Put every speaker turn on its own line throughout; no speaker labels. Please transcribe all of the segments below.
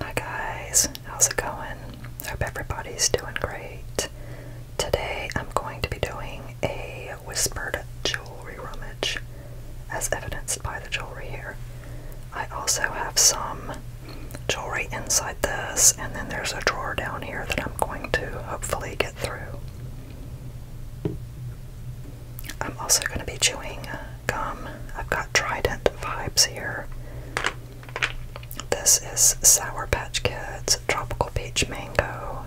Hi guys, how's it going? Hope everybody's doing great. Today I'm going to be doing a whispered jewelry rummage, as evidenced by the jewelry here. I also have some jewelry inside this, and then there's a drawer down here that I'm going to hopefully get through. I'm also going to be chewing uh, gum. I've got Trident vibes here. This is Sour Patch Kids Tropical Peach Mango,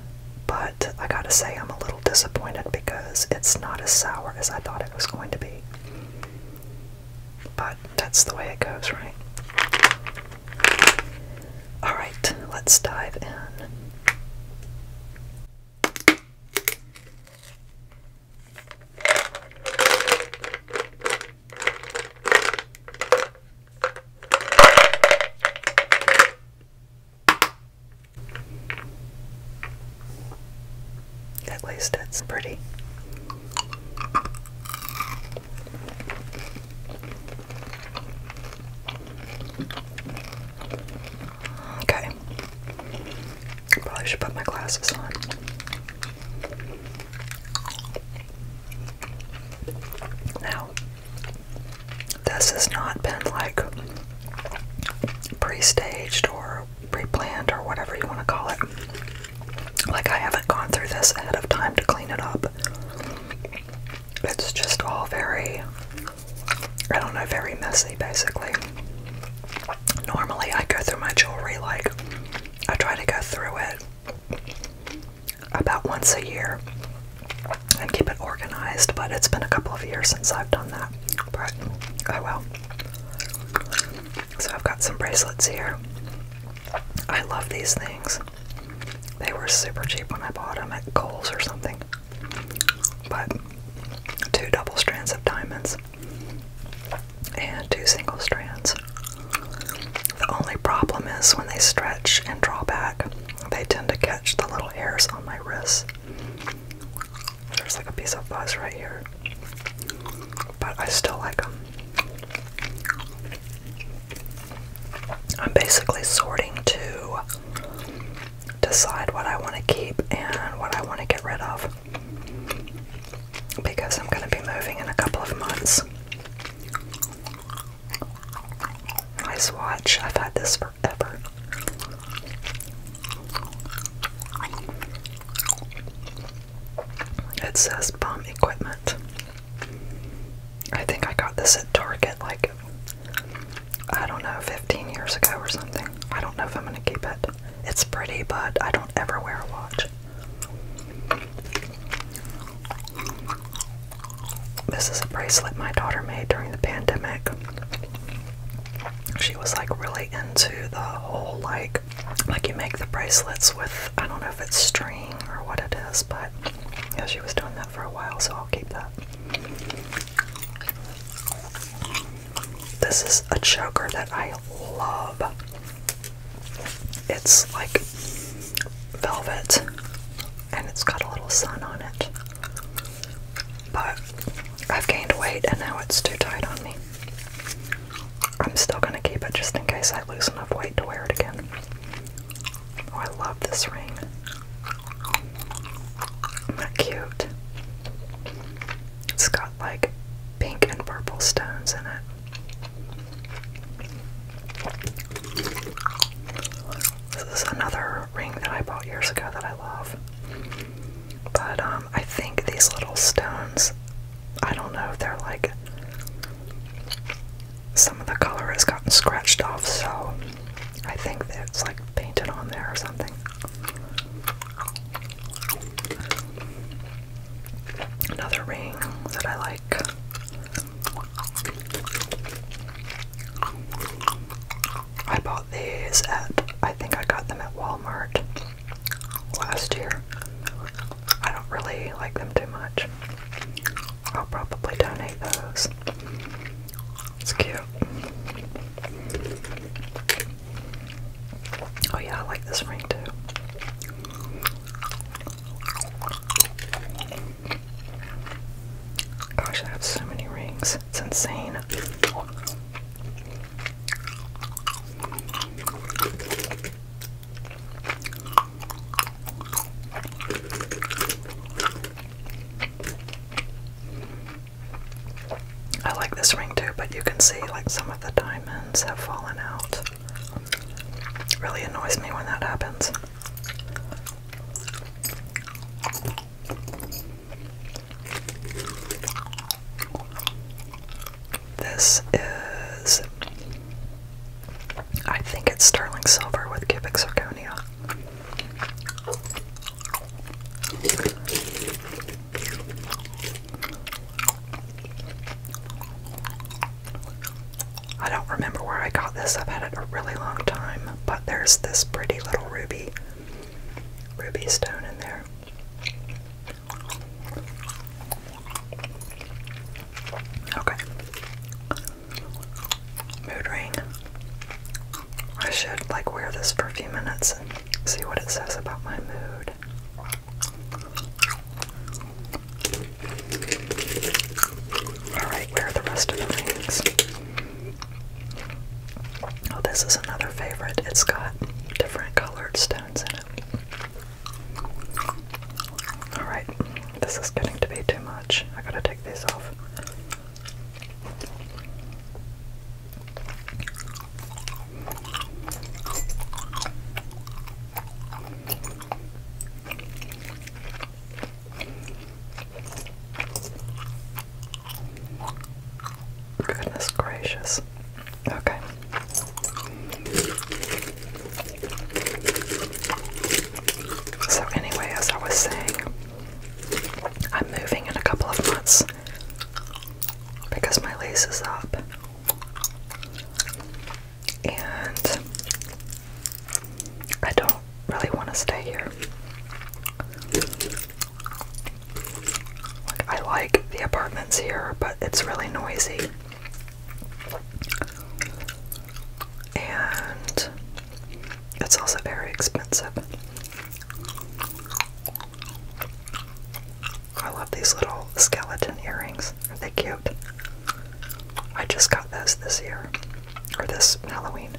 but I gotta say, I'm a little disappointed because it's not as sour as I thought it was going to be. But that's the way it goes, right? Alright, let's dive in. That least that's pretty. Okay. I probably should put my glasses on. Now, this has not been like pre staged or pre planned or whatever you want to call it. Like, I haven't gone through this ahead of time to clean it up. It's just all very, I don't know, very messy basically normally I go through my jewelry like I try to go through it about once a year and keep it organized, but it's been a couple of years since I've done that. But oh well. So I've got some bracelets here. I love these things. They were super cheap when I bought them at Kohl's or something. But two double strands of diamonds and two single strands. The only problem is when they stretch and draw back, they tend to catch the little hairs on my wrists. There's like a piece of fuzz right here, but I still like them. I'm basically sorting to decide what I want to keep and what I want to get rid of because I'm going to be moving in a couple of months. Nice watch, I've had this forever. It says bomb equipment. I think I got this at Target like, I don't know, 15 years ago or something. I don't know if I'm going to keep it. It's pretty, but I don't ever wear a watch. This is a bracelet my daughter made during the pandemic. She was like really into the whole like like you make the bracelets with I don't know if it's string or what it is, but yeah, she was doing that for a while, so I'll keep that. This is a choker that I love. It's like velvet and it's got a little sun on it. But I've gained weight and now it's too tight on me. I'm still going to keep it just in case I lose enough weight to wear it again. Oh, I love this ring. Isn't that cute? It's got like pink and purple stones in it. this is another ring that I bought years ago that I love. But um, I think these little stones, I don't know if they're like, some of the color has gotten scratched off, so I think that it's like painted on there or something. Another ring that I like. I bought these at, I think I got them at Walmart last year. I don't really like them too much. I'll probably donate those. It's cute. Oh yeah, I like this ring too. Gosh, I have so many rings. It's insane. I like this ring too, but you can see like some of the diamonds have fallen out. Really annoys me when that happens. This is, I think it's sterling silver with cubic zirconia. I don't remember where I got this. I've had it a really long time, but there's this pretty little ruby ruby stone in there. Okay. Mood ring. I should like wear this for a few minutes and see what it says about my mood. Alright, where are the rest of the rings? Oh, this is another favorite. It's got different colored stones in it. Alright, this is getting to be too much. I gotta take these off. Goodness gracious. Okay. So, anyway, as I was saying, I'm moving in a couple of months because my lease is up and I don't really want to stay here. I like the apartments here, but it's really noisy. And it's also very expensive. I love these little skeleton earrings. Are they cute? I just got those this year, or this Halloween.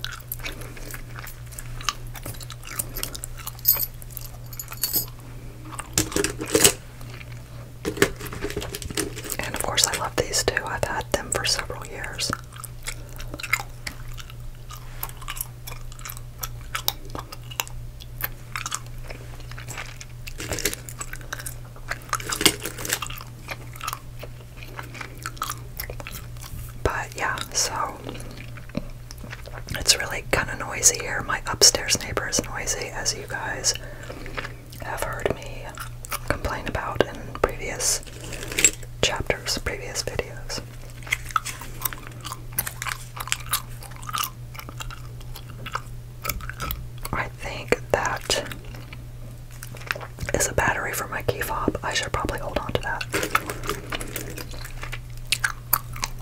And of course, I love these too. I've had them for several years. But yeah, so it's really kind of noisy here. My upstairs neighbor is noisy, as you guys have heard me complain about in previous chapters, previous videos. I think that is a battery for my key fob. I should probably hold on to that.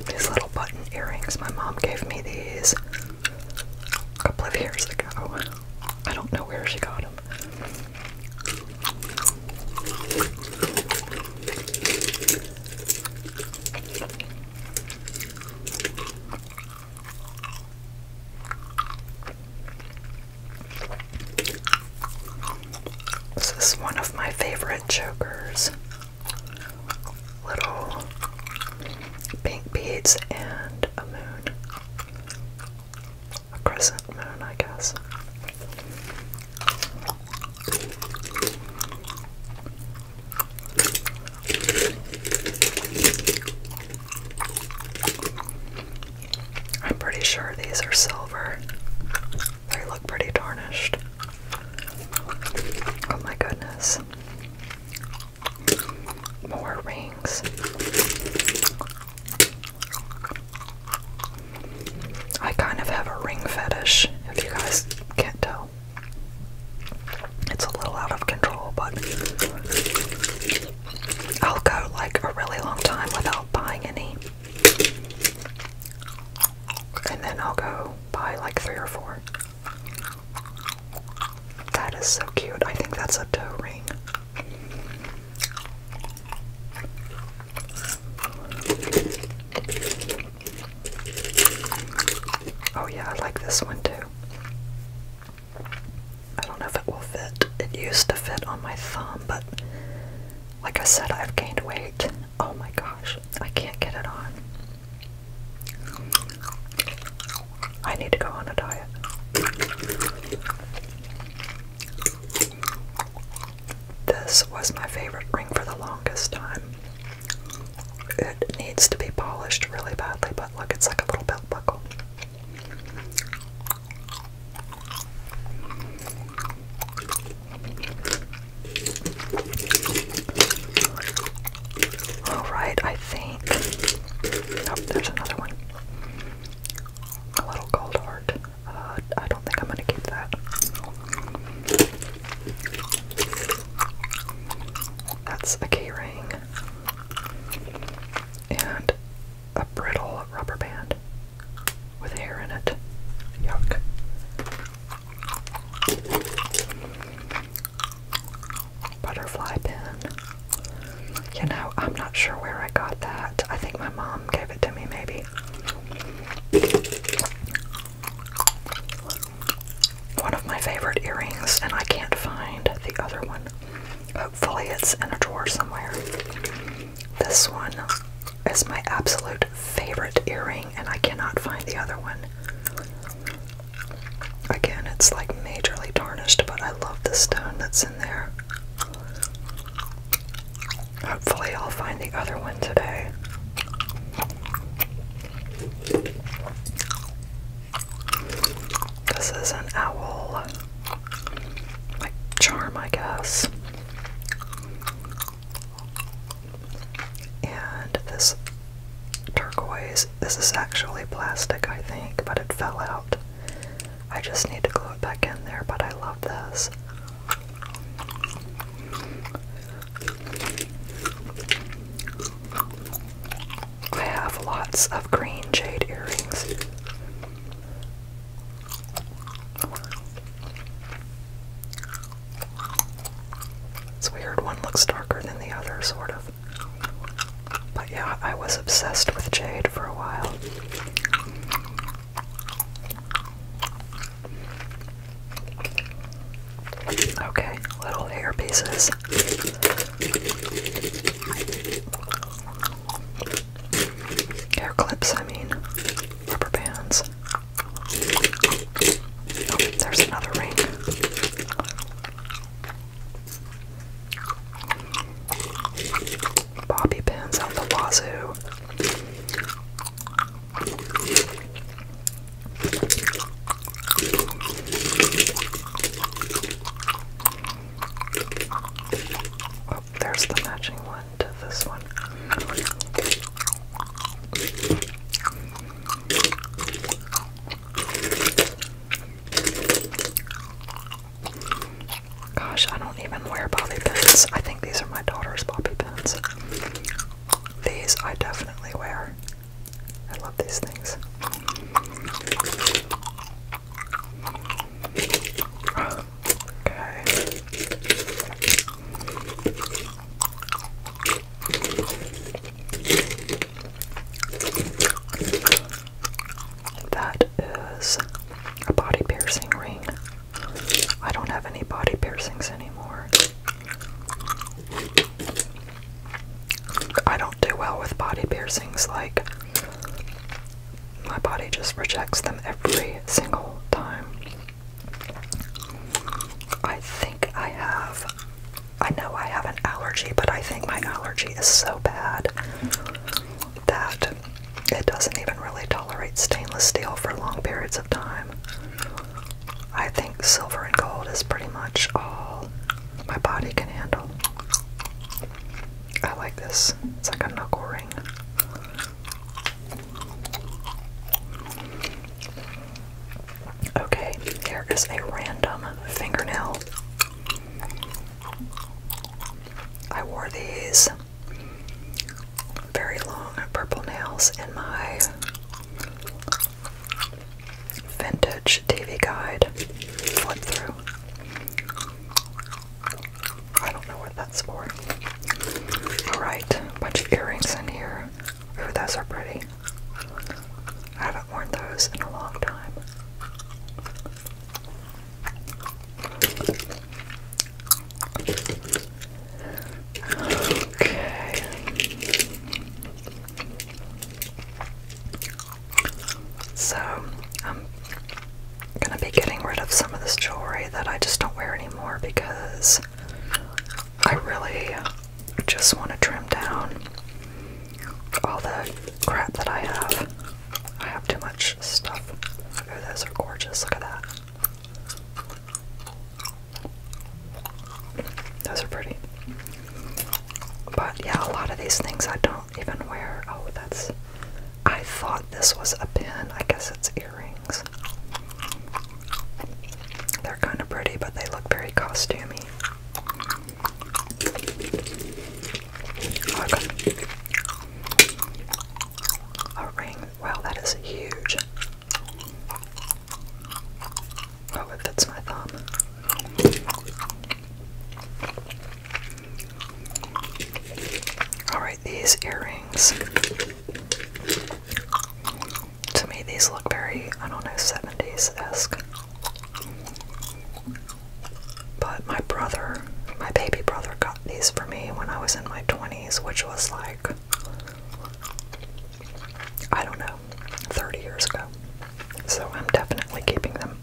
These little button earrings, my mom gave me these a couple of years ago. I don't know where she got them. This is one of my favorite chokers. Little pink beads and a moon. A crescent moon, I guess. I'm pretty sure these are silver. They look pretty tarnished. Oh my goodness. More rings. I kind of have a ring fetish, if you guys can't tell. It's a little out of control, but I'll go like a really long time without buying any. And then I'll go buy like three or four. That is so cute. I think that's a toe ring. Oh, yeah, I like this one too. I don't know if it will fit. It used to fit on my thumb, but like I said, I've gained weight. Oh my gosh, I can't get it on. I need to go on a diet. This was my favorite ring for the longest time it needs to be polished really badly, but look, it's like a little belt buckle. Alright, I think. Oh, there's another one. A little gold heart. Uh, I don't think I'm going to keep that. That's a key ring and a brittle rubber band with hair in it. Yuck. Butterfly pin. You know, I'm not sure where I got that. I think my mom gave it to me, maybe one of my favorite earrings, and I can't find the other one. Hopefully, it's in a drawer somewhere. This one is my absolute favorite earring, and I cannot find the other one. Again, it's like majorly tarnished, but I love the stone that's in there. Hopefully, I'll find the other one today. This is an owl. Like charm, I guess. And this turquoise, this is actually plastic, I think, but it fell out. I just need to glue it back in there, but I love this. I have lots of green jade earrings. It's weird, one looks darker than the other, sort of. But yeah, I was obsessed with jade for a while. Okay, little earpieces. Hair clips, I mean. Rubber bands. Oh, there's another ring. Bobby pins out the wazoo. Oh, there's the matching one to this one. Gosh, I don't even wear bobby pins. I think these are my daughter's bobby pins. These I definitely wear. I love these things. Okay. That is a body piercing ring. I don't have any body piercings anymore. I don't do well with body piercings, like, my body just rejects them every single time. I think I have, I know I have an allergy, but I think my allergy is so bad that it doesn't even really tolerate stainless steel for long periods of time. I think silver and gold is pretty much all my body can handle. I like this. It's like a knuckle ring. Okay, here is a random fingernail. I wore these very long purple nails in my vintage TV guide flip through. I don't know what that's for. Alright, bunch of earrings in here. Ooh, those are pretty. I haven't worn those in a long time. Okay. So I'm gonna be getting rid of some of this jewelry that I just don't wear anymore because I really just want to trim down all the crap that I have. I have too much stuff. those are gorgeous. Look at that. Those are pretty. But yeah, a lot of these things I don't even wear. Oh, that's. I thought this was a pin. I guess it's earrings. They're kind of pretty, but they look very costumey. A ring. Wow, that is huge. Oh, it fits my thumb. Alright, these earrings. To me, these look very, I don't know, 70s esque. But my brother, my baby brother, got these for me when I was in my 20s, which was like, I don't know, 30 years ago. So I'm definitely keeping them time.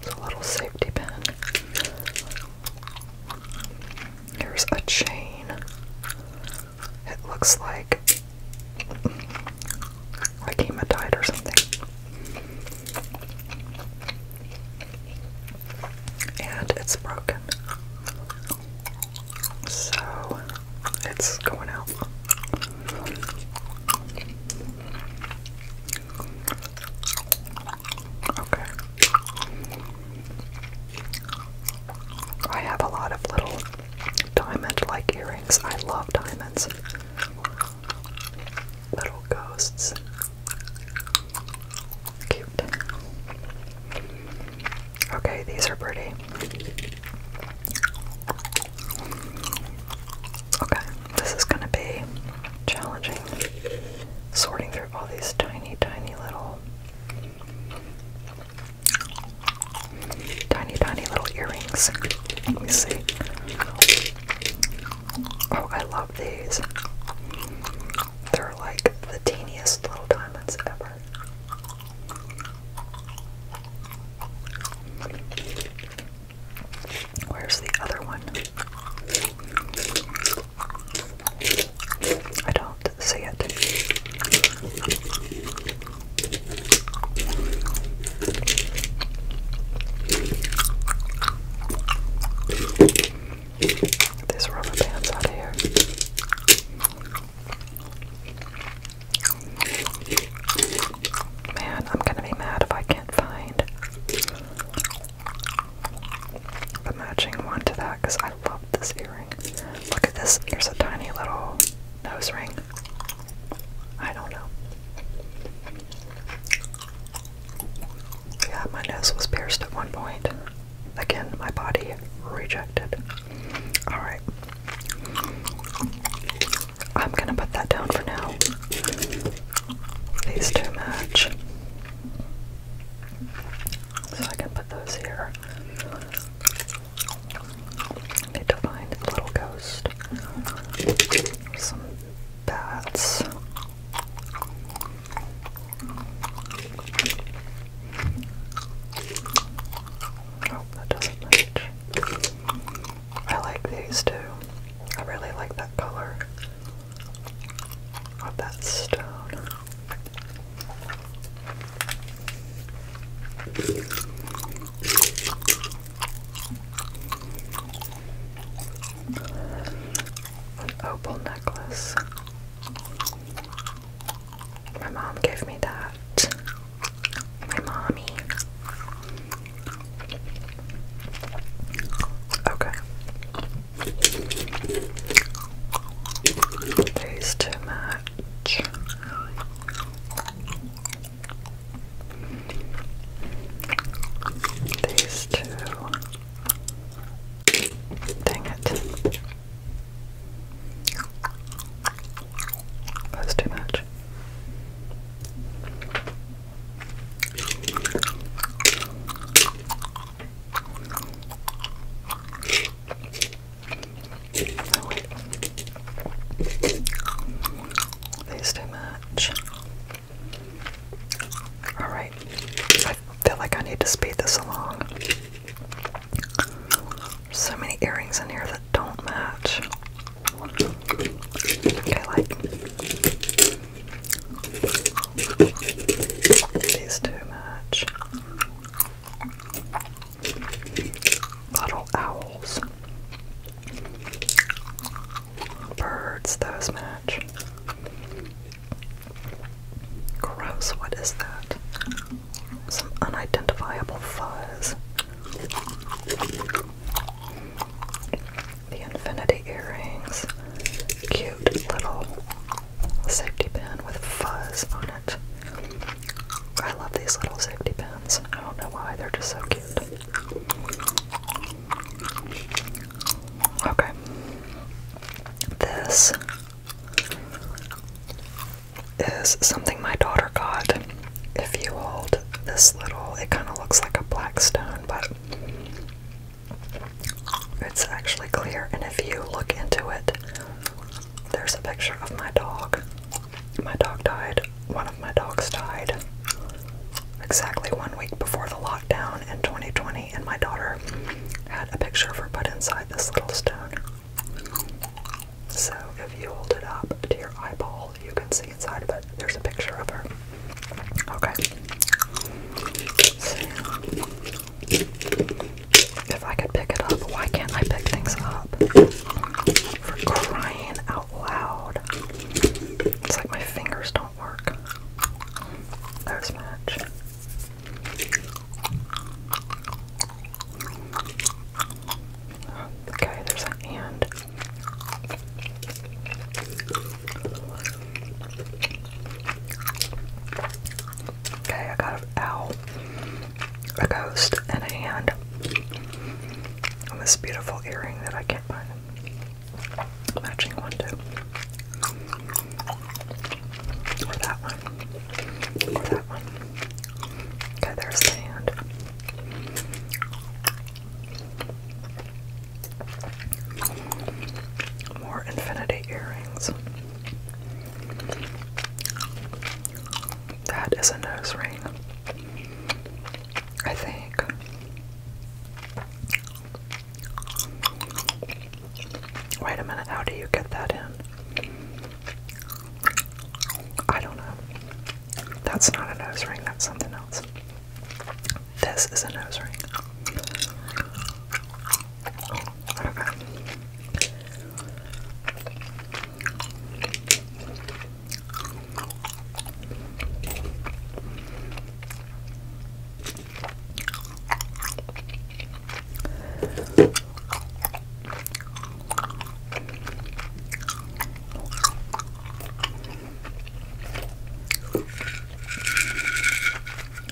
It's a little safety pin. Here's a chain. It looks like like hematite or something. And it's broken. So it's going out. Okay. I have a lot of little diamond like earrings. I love diamonds. Little ghosts. Cute. Okay, these are pretty. Okay, this is going to be challenging. Sorting through all these tiny, tiny little, tiny, tiny little earrings. Let me see. Oh, I love these. They're like the teeniest little diamonds ever. Where's the other one? I don't see it. these rubber bands out here. Man, I'm gonna be mad if I can't find the matching one to that because I love this earring. Look at this. Here's a tiny little nose ring. I don't know. Yeah, my nose was pierced at one point. Again, my body rejected. Alright. I'm gonna put that down for now. These two match. So I can put those here. need to find a little ghost. Some bats. Oh, that doesn't match. I like these too. I really like that color of that stone. An opal necklace. My mom gave me that my mommy. Okay. These two match. These two. Dang it. That's too much. There's too much. Alright, I feel like I need to speed this along. so many earrings in here that don't match. I like these too much. Little owls. Birds, those match. Gross, what is that? Some unidentifiable fuzz. The infinity earrings. Cute little safety pin with fuzz on it. I love these little safety pins. I don't know why, they're just so cute. Okay. This is something my daughter got if you hold this little, it kind of looks like a black stone, but it's actually clear. And if you look into it, there's a picture of my dog. My dog died, one of my dogs died exactly one week before the lockdown in 2020, and my daughter had a picture of her put inside this little stone. So if you hold it up to your eyeball, you can see inside of it. There's a picture of her. Okay. If I could pick it up, why can't I pick things up? For crying out loud. It's like my fingers don't work. There's match. Okay, there's an and. Okay, I got a bow, a ghost, and a hand. And this beautiful earring that I can't find. Matching one too. Or that one. Or that one. Okay, there's the hand. More infinity earrings. That is a nose ring. I think. Wait a minute, how do you get that in? I don't know. That's not a nose ring, that's something else. This is a nose ring. Okay.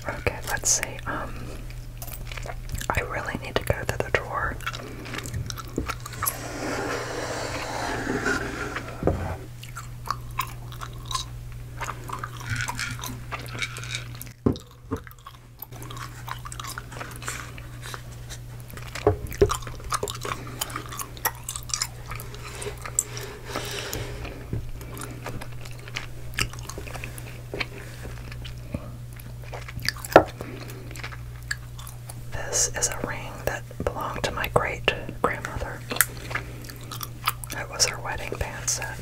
Okay, let's see. Um, I really need to go to the drawer. This is a ring that belonged to my great grandmother. It was her wedding band set.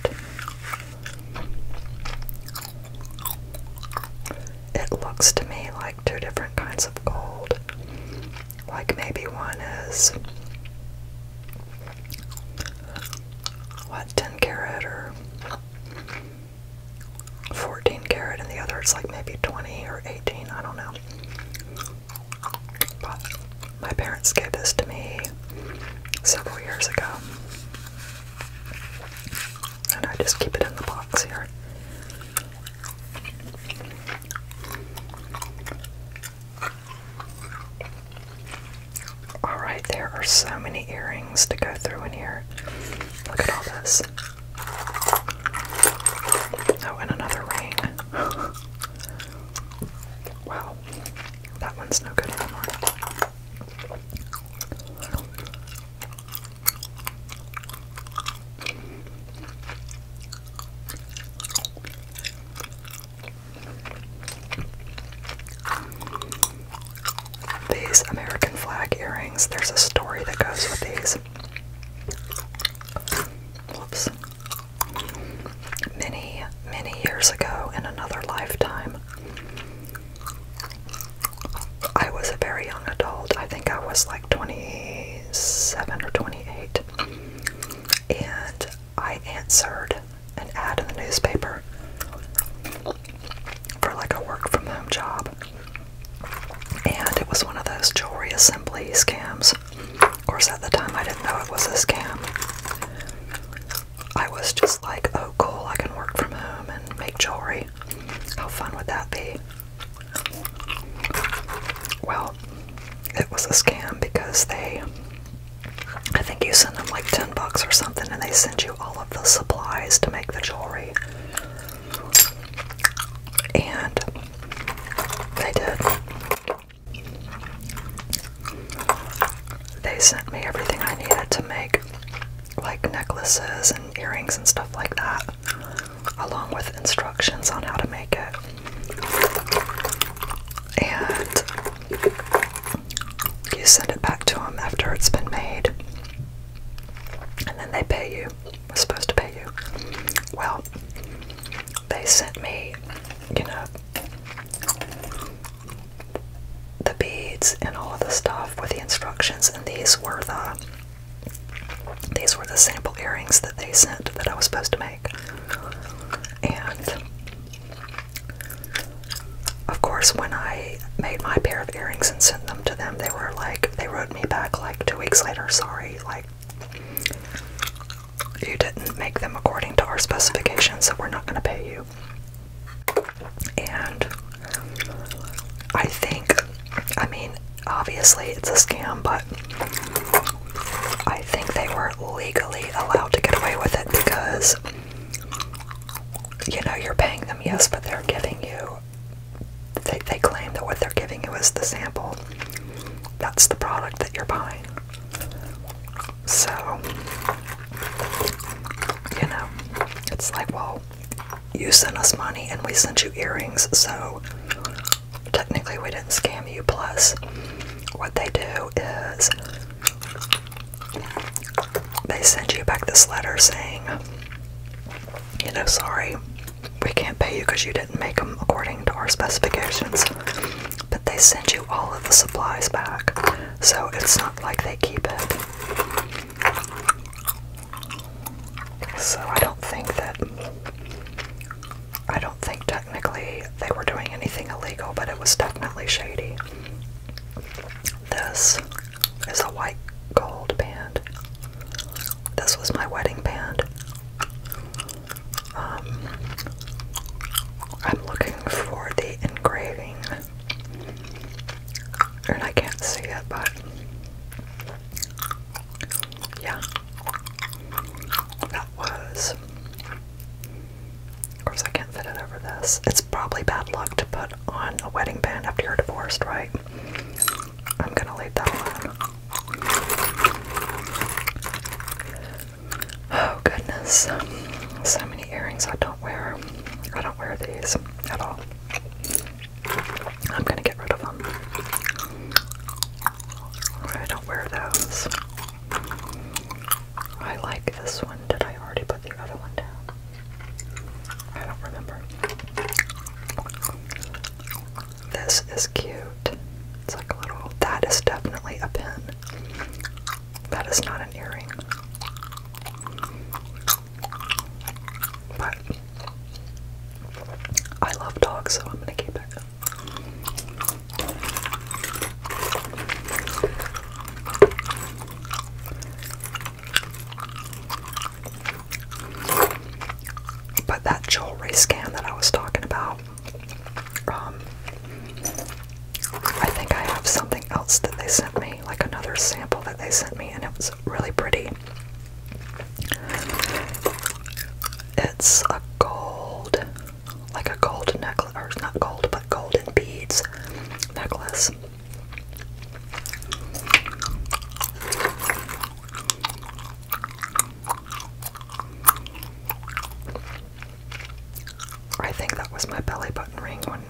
It looks to me like two different kinds of gold. Like maybe one is what 10 carat or 14 carat, and the other it's like maybe 20 or 18. I don't know. But my parents gave this to me several years ago, and I just keep it in the box here. Alright, there are so many earrings to go through in here. Look at all this. Oh, and another ring. wow, that one's no good anymore. These American flag earrings, there's a story that goes with these. Whoops. Many, many years ago in another lifetime, I was a very young adult. I think I was like 27 or 28 and I answered an ad in the newspaper for like a work from home job. And it was one of those jewelry assembly scams. Of course, at the time I didn't know it was a scam. I was just like, oh, cool, I can work from home and make jewelry. How fun would that be? Well, it was a scam because they, I think you send them like 10 bucks or something, and they send you all of the supplies to make the jewelry. And they did. They sent me everything I needed to make, like necklaces and earrings and stuff like that along with instructions on how to make it. And you send it back to them after it's been made. And then they pay you. We're supposed to pay you. Well, they sent me, you know, the beads and all of the stuff with the instructions, and these were the these were the sample earrings that they sent that I was supposed to make like. And of course, when I made my pair of earrings and sent them to them, they were like, they wrote me back like two weeks later, sorry, like, you didn't make them according to our specifications, so we're not going to pay you. And I think, I mean, obviously it's a scam, but I think they weren't legally allowed to get away with it because you know you're paying them, yes, but they're giving you they they claim that what they're giving you is the sample. That's the product that you're buying. So you know, it's like, well, you sent us money and we sent you earrings, so technically we didn't scam you plus what they do is they send you back this letter saying you know sorry we can't pay you because you didn't make them according to our specifications but they send you all of the supplies back so it's not like they keep it so I don't think that I don't think technically they were doing anything illegal, but it was definitely shady. This is a white gold band. This was my wedding band. Um, I'm looking for the engraving, and I can't see it, but yeah, that was. Of course, I can't fit it over this. It's probably bad luck to put on a wedding band after you're divorced, right? I'm gonna leave that alone. Oh, goodness. So many earrings I don't wear. I don't wear these at all. I'm gonna get rid of them. I don't wear those. I like this one. Did I already put the other one down? I don't remember. This is cute. It's like a little. That is definitely a pin. That is not an earring. But I love dogs, so I'm gonna keep it. But that jewelry scan that I was talking about, um, I think I have something else that they sent me, like another sample that they sent me, and it was really pretty. It's a gold like a gold necklace, or not gold, but golden beads necklace. I think that was my belly button ring when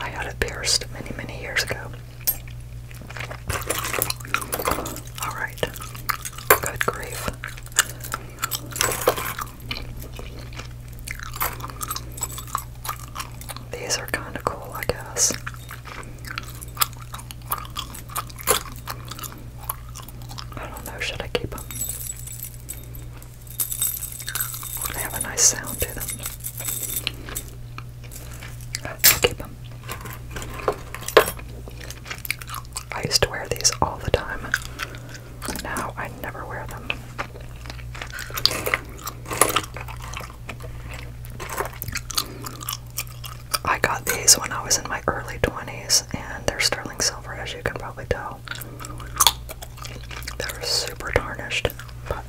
I had it pierced many, many years ago. Alright, good grief. These are kind of cool, I guess. I don't know, should I keep them? They have a nice sound to them. keep them. I used to wear these all the time. Now I never wear them. I got these when I was in my early 20s, and they're sterling silver, as you can probably tell. They're super tarnished, but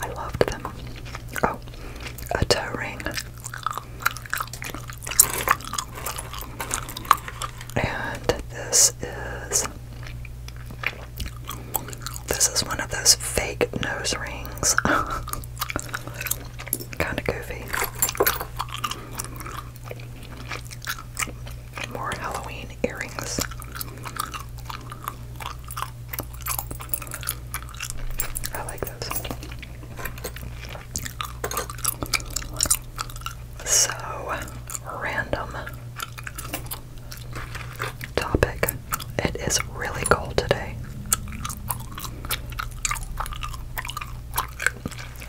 I loved them. Oh, a toe ring. And this is this is one of those fake nose rings. kind of goofy. More Halloween earrings. I like those. So random topic. It is really cold today.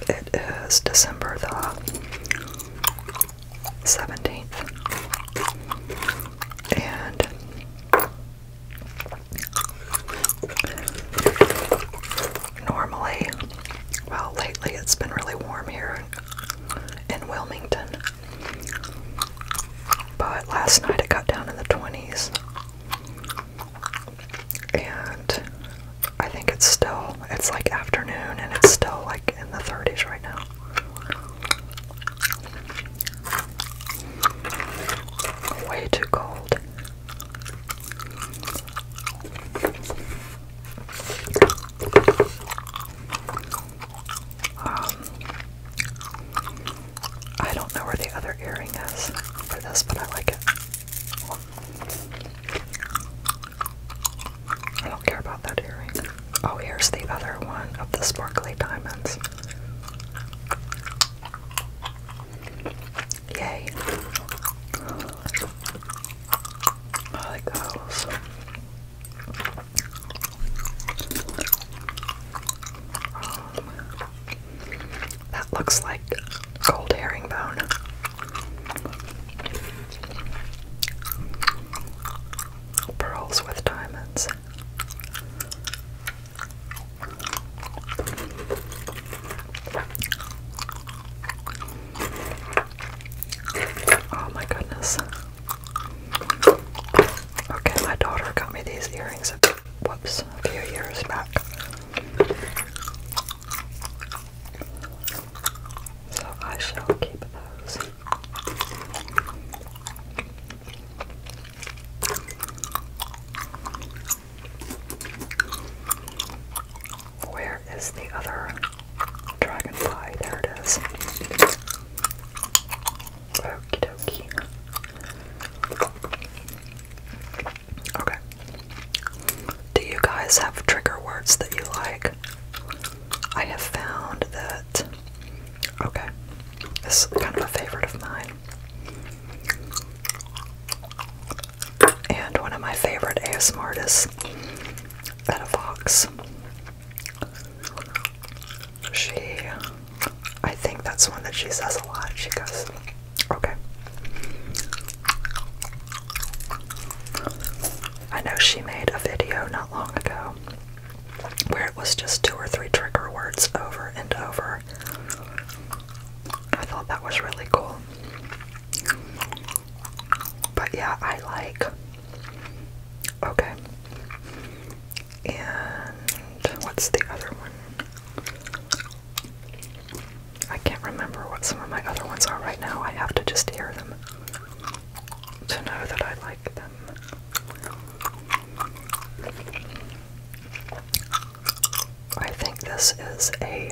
It is December the 17th. And normally, well, lately it's been really warm here in Wilmington. But last night it got down in the 20s. And I think it's still, it's like afternoon and it's still like in the 30s right now. Way too cold. Um, I don't know where the other earring is for this, but I like it. I don't care about that earring. Oh, here's the other one of the sparkly diamonds. Yay. I like those. that looks like gold herringbone. Pearls with diamonds. Oh my goodness. Okay, my daughter got me these earrings whoops a few years back. So I shall keep those. Where is the other dragonfly? There it is. Okie dokie. Okay. Do you guys have trigger words that you like? I have found that. Okay. This is kind of a favorite of mine and one of my favorite ASMR artists, Etta Fox. She, I think that's one that she says a lot. She goes, okay. I know she made a video not long ago where it was just two or three trigger words over and over. I thought that was really cool. But yeah, I like. Okay. And what's the other one? I can't remember what some of my other ones are right now. I have to just hear them to know that I like them. I think this is a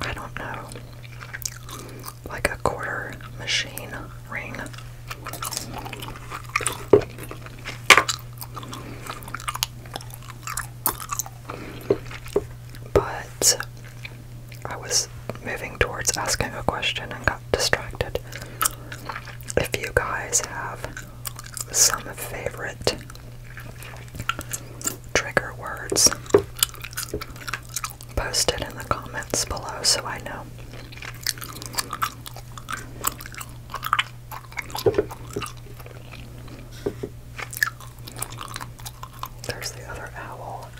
I don't know, like a quarter machine ring. But I was moving towards asking a question and got distracted. If you guys have some favorite trigger words posted in the comments below so I know. There's the other owl.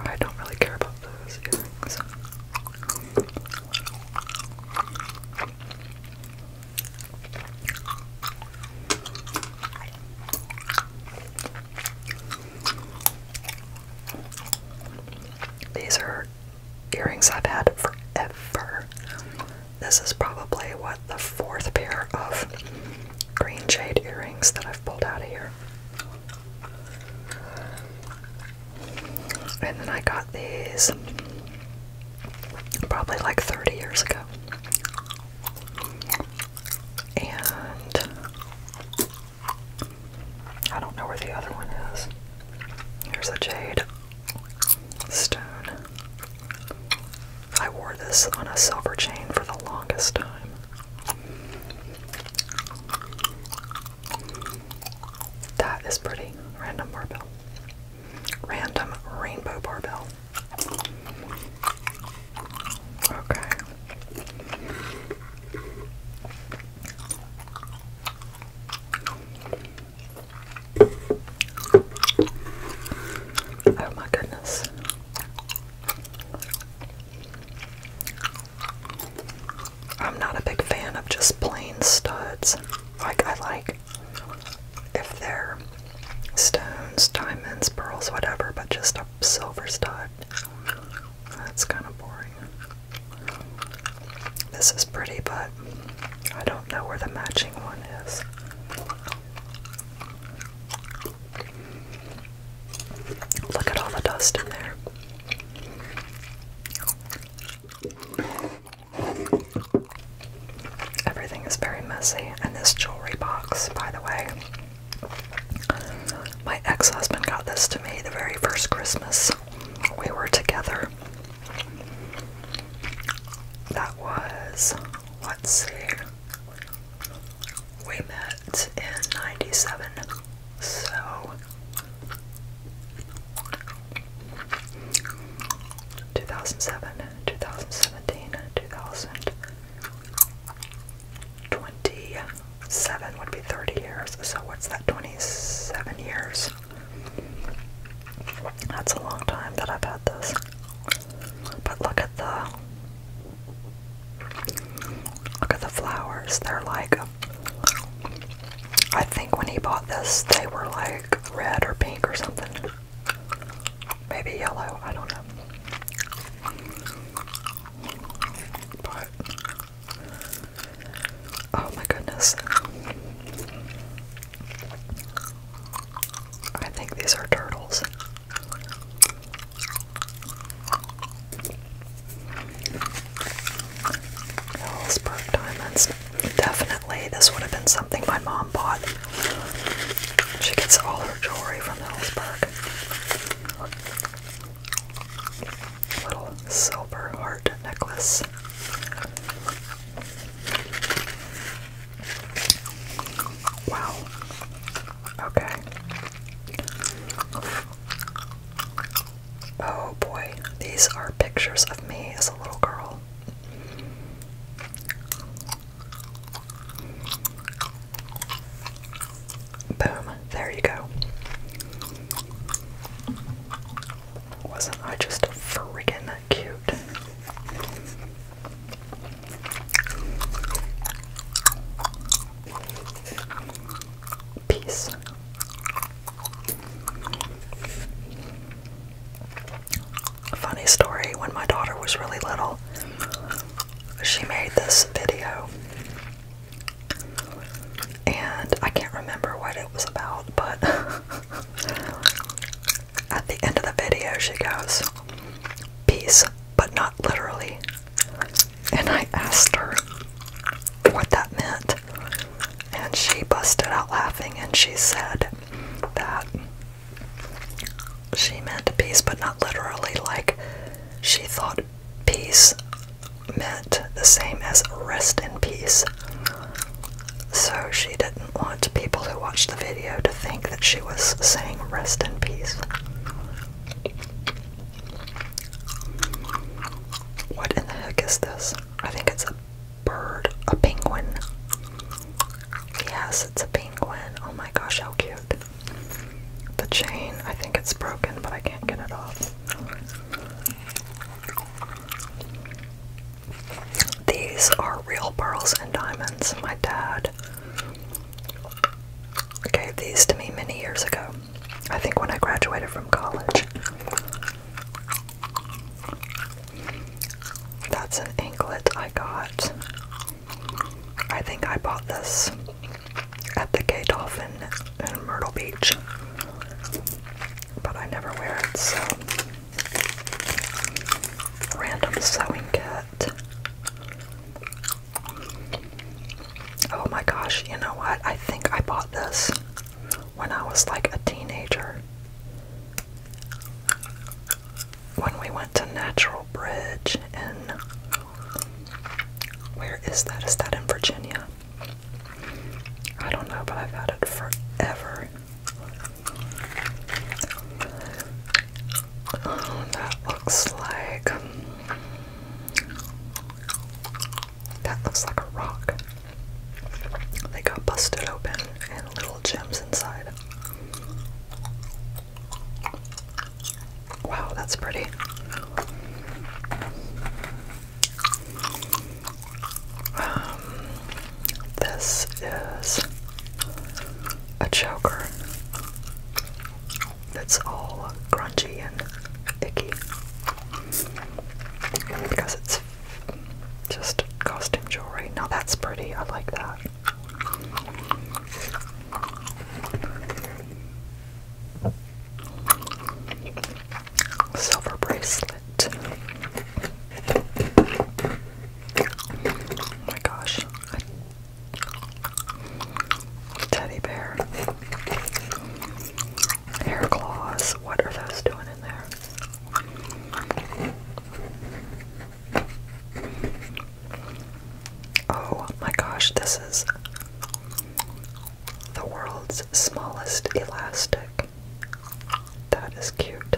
I don't really care about these are earrings I've had forever. This is probably what the fourth pair of green jade earrings that I've pulled out of here. And then I got these probably like 30 years ago. And I don't know where the other one is. Here's a jade stone. I wore this on a silver chain for the longest time. That is pretty. Random barbell. Random rainbow barbell. Okay. Oh my goodness. I'm not a big fan of just plain studs. Like, I like if they're stones, diamonds, pearls, whatever, but just a silver stud. That's kind of boring. This is pretty, but I don't know where the matching one is. Look at all the dust in there. Everything is very messy, and this jewelry box, by the way, my ex husband got this to me the very first Christmas we were together. That was, let's see, we met. Jets in 97. So two thousand seven, two thousand seventeen, two thousand twenty seven would be thirty years. So what's that twenty seven years? That's a long time that I've had this. But look at the Look at the flowers. They're like, I think when he bought this, they were like red or pink or something. Maybe yellow, I don't know. But, oh my goodness. I think these are turtles. Hillsburg diamonds. Definitely, this would have been something my mom bought. She gets all her jewelry from Hillsburg. Little silver heart necklace. Wow. Okay. Oh boy, these are pictures of me as a little girl. Boom, there you go. Wasn't I just freaking cute? Peace. Funny story when my daughter was really little, she made this video. And I can't remember what it was about, but at the end of the video, she goes, Peace, but not literally and I asked her what that meant, and she busted out laughing and she said that she meant peace, but not literally, like she thought peace meant the same as rest in peace. So she didn't want people who watched the video to think that she was saying rest in peace. What in the heck is this? I think it's a bird, a penguin. Yes, it's a penguin. Oh my gosh, how cute. The chain, I think it's broken, but I can't get it off. These are real pearls and diamonds. My dad gave these to me many years ago. I think when I graduated from college. That's an anklet I got. I think I bought this at the K Dolphin in Myrtle Beach. But I never wear it, so. Random sewing kit. Oh my gosh, you know what? I think I bought this when I was like a teenager. When we went to Natural Bridge in. Where is that? Is that in Virginia? I don't know, but I've had it forever. Oh, that looks like. That looks like a rock. They got busted open and little gems inside. Wow, that's pretty. Um, this is a choker that's all crunchy and icky because it's just costume jewelry. Now that's pretty, I like that. Silver bracelet. Oh my gosh. Teddy bear. Hair claws. What are those doing in there? Oh my gosh, this is the world's smallest elastic. That is cute.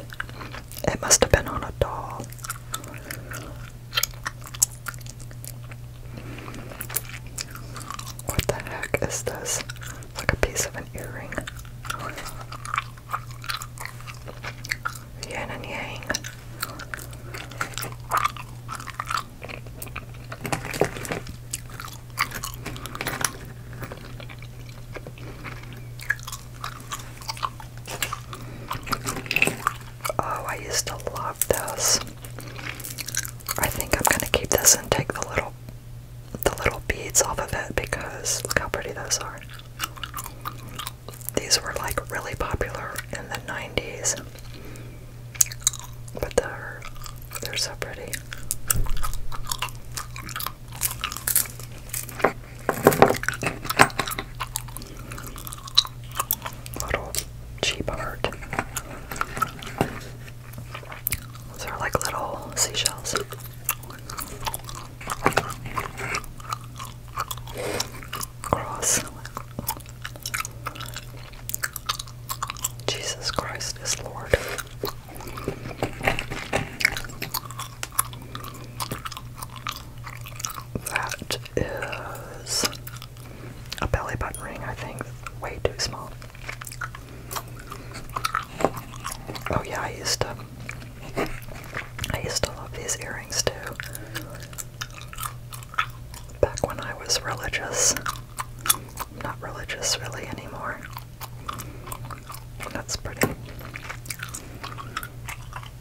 It must have been on a doll. What the heck is this? like a piece of an earring. Yin and yang. Oh, I used to love this. I think I'm going to keep this and take the little the little beads off of it because look how pretty those are. These were like really popular in the 90s. But they're they're so pretty. Little cheap art. Those are like little seashells. Gross. Jesus Christ is Lord. That is a belly button ring, I think. Way too small. Oh yeah, I used to I used to love these earrings too. Back when I was religious. not religious really anymore. That's pretty.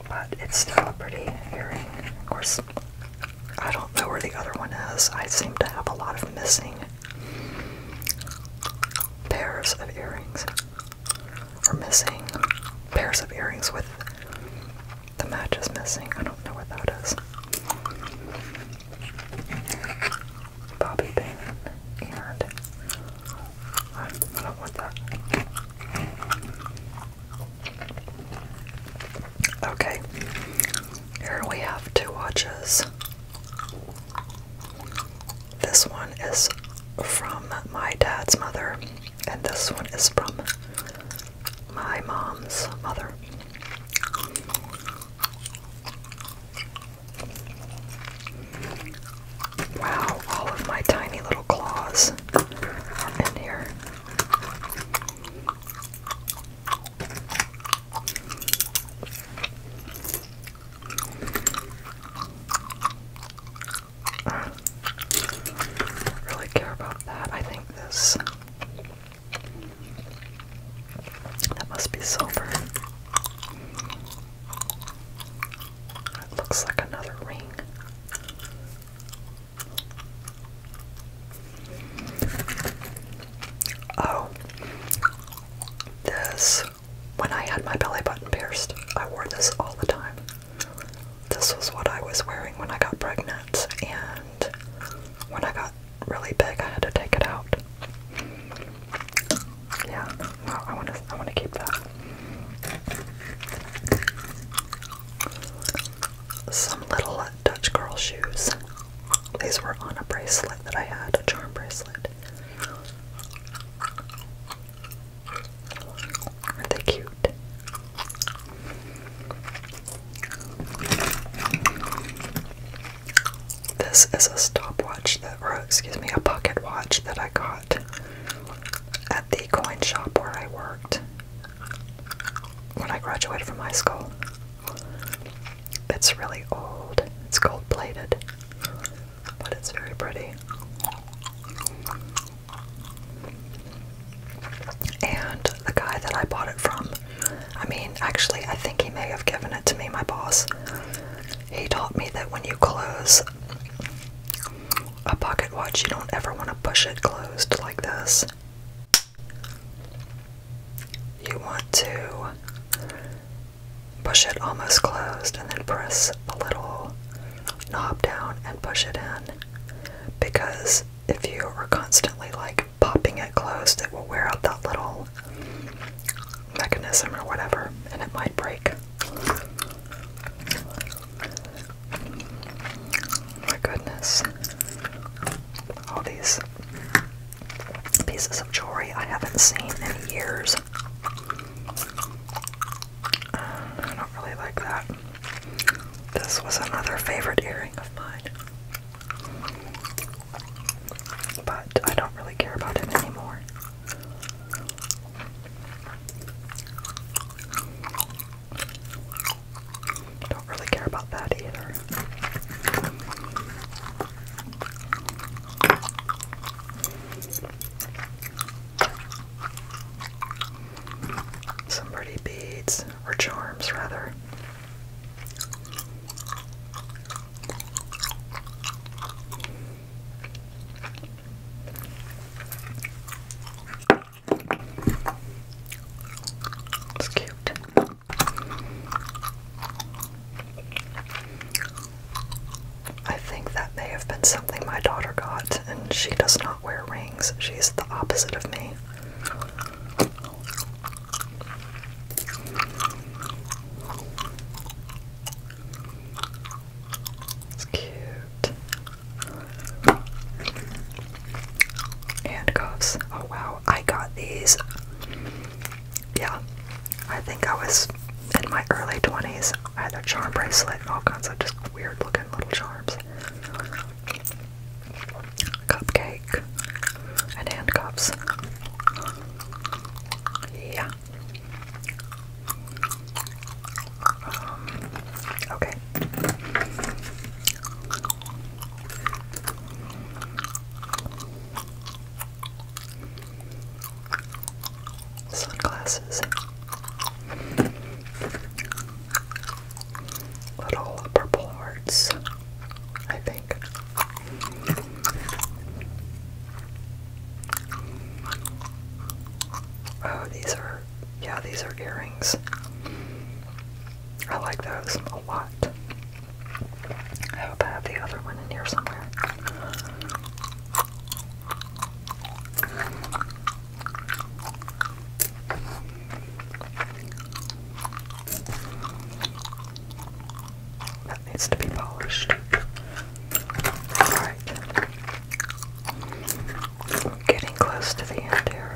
But it's still a pretty earring. Of course, I don't know where the other one is. I seem to have a lot of missing pairs of earrings are missing pairs of earrings with the match is missing. I don't know what that is. Bobby pin and I don't want that. Okay, here we have two watches. This one is from my dad's mother, and this one is from my mom's mother. Wow, all of my tiny little claws in here really care about that. I think this. That must be silver. It looks like another ring. Oh, this, when I had my belly button pierced, I wore this all the time. This was what I was wearing when I got pregnant, and when I got really big, I had to take it out. Yeah, well, I want to, I want to keep that. Some little Dutch girl shoes. These were on a bracelet that I had, a charm bracelet. Aren't they cute? This is a stopwatch that, or excuse me, a pocket watch that I got at the coin shop where I worked when I graduated from high school. It's really old. It's gold plated, but it's very pretty. And the guy that I bought it from, I mean, actually, I think he may have given it to me, my boss. He taught me that when you close a pocket watch, you don't ever want to push it closed like this. You want to push it almost closed, and then press the little knob down and push it in. Because if you are constantly like popping it closed, it will wear out that little mechanism or whatever, and it might break. My goodness. All these pieces of jewelry I haven't seen in years. Uh, I don't really like that. This was another favorite earring of mine. But I don't really care about it anymore. Don't really care about that either. Some pretty beads, or charms rather. It's cute. I think that may have been something my daughter got, and she does not wear rings. She's the opposite of me. It's cute. Handcuffs. Oh wow, I got these. Yeah, I think I was in my early 20s. I had a charm bracelet all kinds of just weird looking little charms. Cupcake and handcuffs. Yeah. Um, okay. Sunglasses. Little purple hearts, I think. Oh, these are, yeah, these are earrings. I like those a lot. I hope I have the other one in here somewhere. That needs to be polished. Alright. I'm getting close to the end here.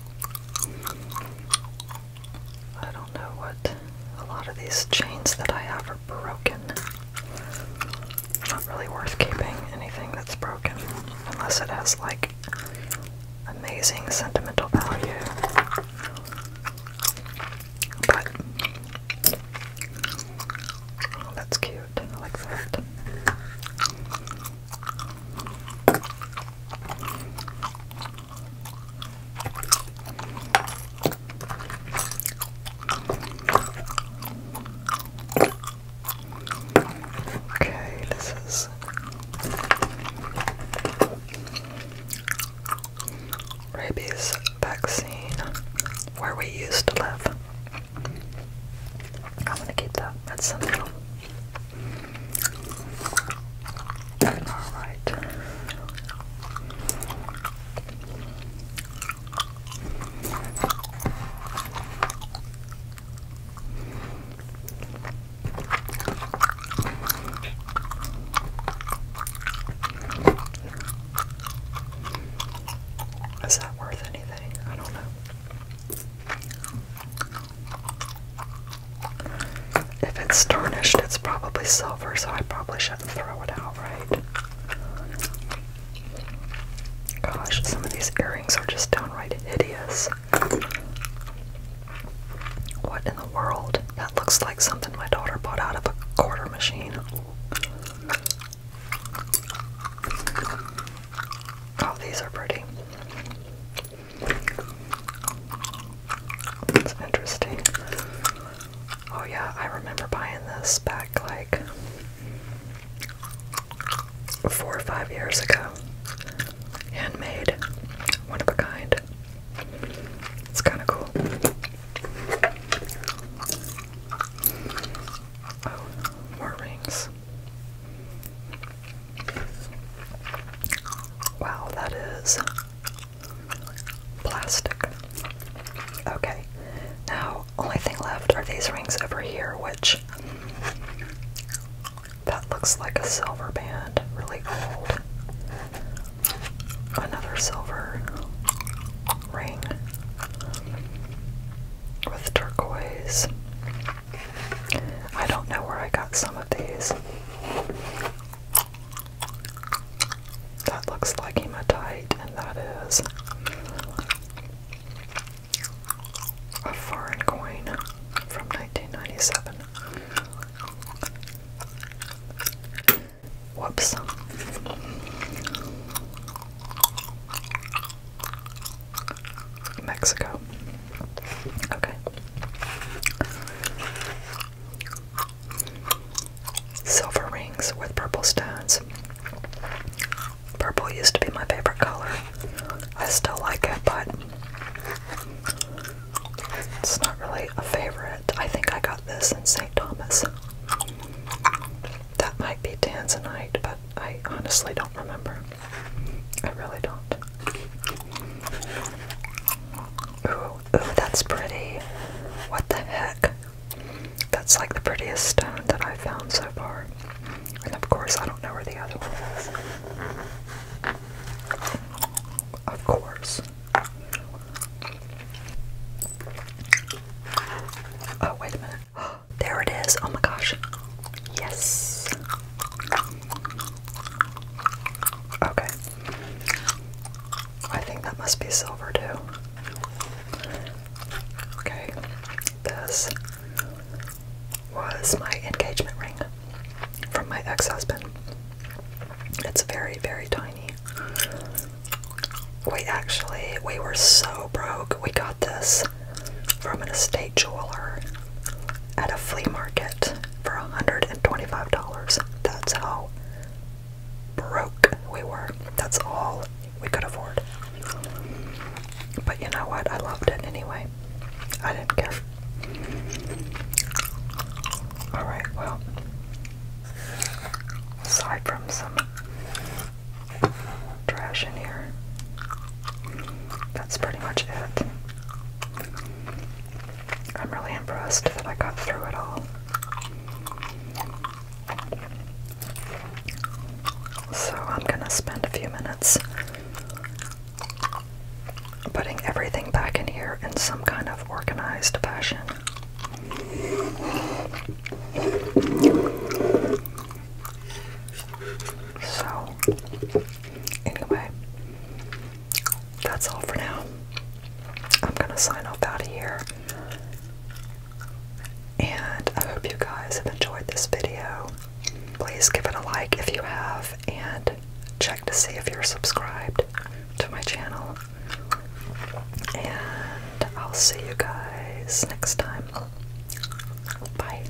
I don't know what a lot of these chains that I have are broken. Not really worth keeping anything that's broken unless it has like amazing sentimental value. But that's cute. I like that. Okay, this is rabies vaccine where we used to live. I'm gonna keep that. That's something. All right. Is that worth anything? I don't know. If it's tarnished, it's probably silver, so I probably shouldn't throw it out, right? Gosh, some of these earrings are just downright hideous. What in the world? That looks like something my daughter bought out of a quarter machine. Oh, these are pretty. That's interesting. Oh yeah, I remember buying this back like four or five years ago. Handmade, one of a kind. It's kind of cool. Oh, more rings. Wow, that is plastic. Okay, now only thing left are these rings over here, which that looks like a silver band, really old. Another silver ring with turquoise. I don't know where I got some of these. That looks like hematite, and that is a foreign coin from 1997. Whoops. Mexico. Okay. Silver rings with purple stones. Purple used to be my favorite color. I still like it, but it's not really a favorite. I think I got this in St. Thomas. That might be Tanzanite, but I honestly don't remember. I really don't. Ooh, ooh, that's pretty. What the heck? That's like the prettiest stone that I've found so far. And of course, I don't know where the other one is. Of course. Oh, wait a minute. There it is. Oh my gosh. Yes. Okay. I think that must be silver too. Okay. This was my engagement ring from my ex-husband. It's very, very tiny. We actually we were so broke. We got this from an estate jeweler at a flea market for $125. That's how broke we were. That's all we could afford. But you know what? I loved it anyway. I didn't care. Alright, well, aside from some trash in here, that's pretty much it. I'm really impressed that I got through it all. So I'm going to spend a few minutes putting everything back in here in some kind of organized fashion. So Anyway, that's all for now. I'm gonna sign off out of here. And I hope you guys have enjoyed this video. Please give it a like if you have, and check to see if you're subscribed to my channel. And I'll see you guys next time. Bye.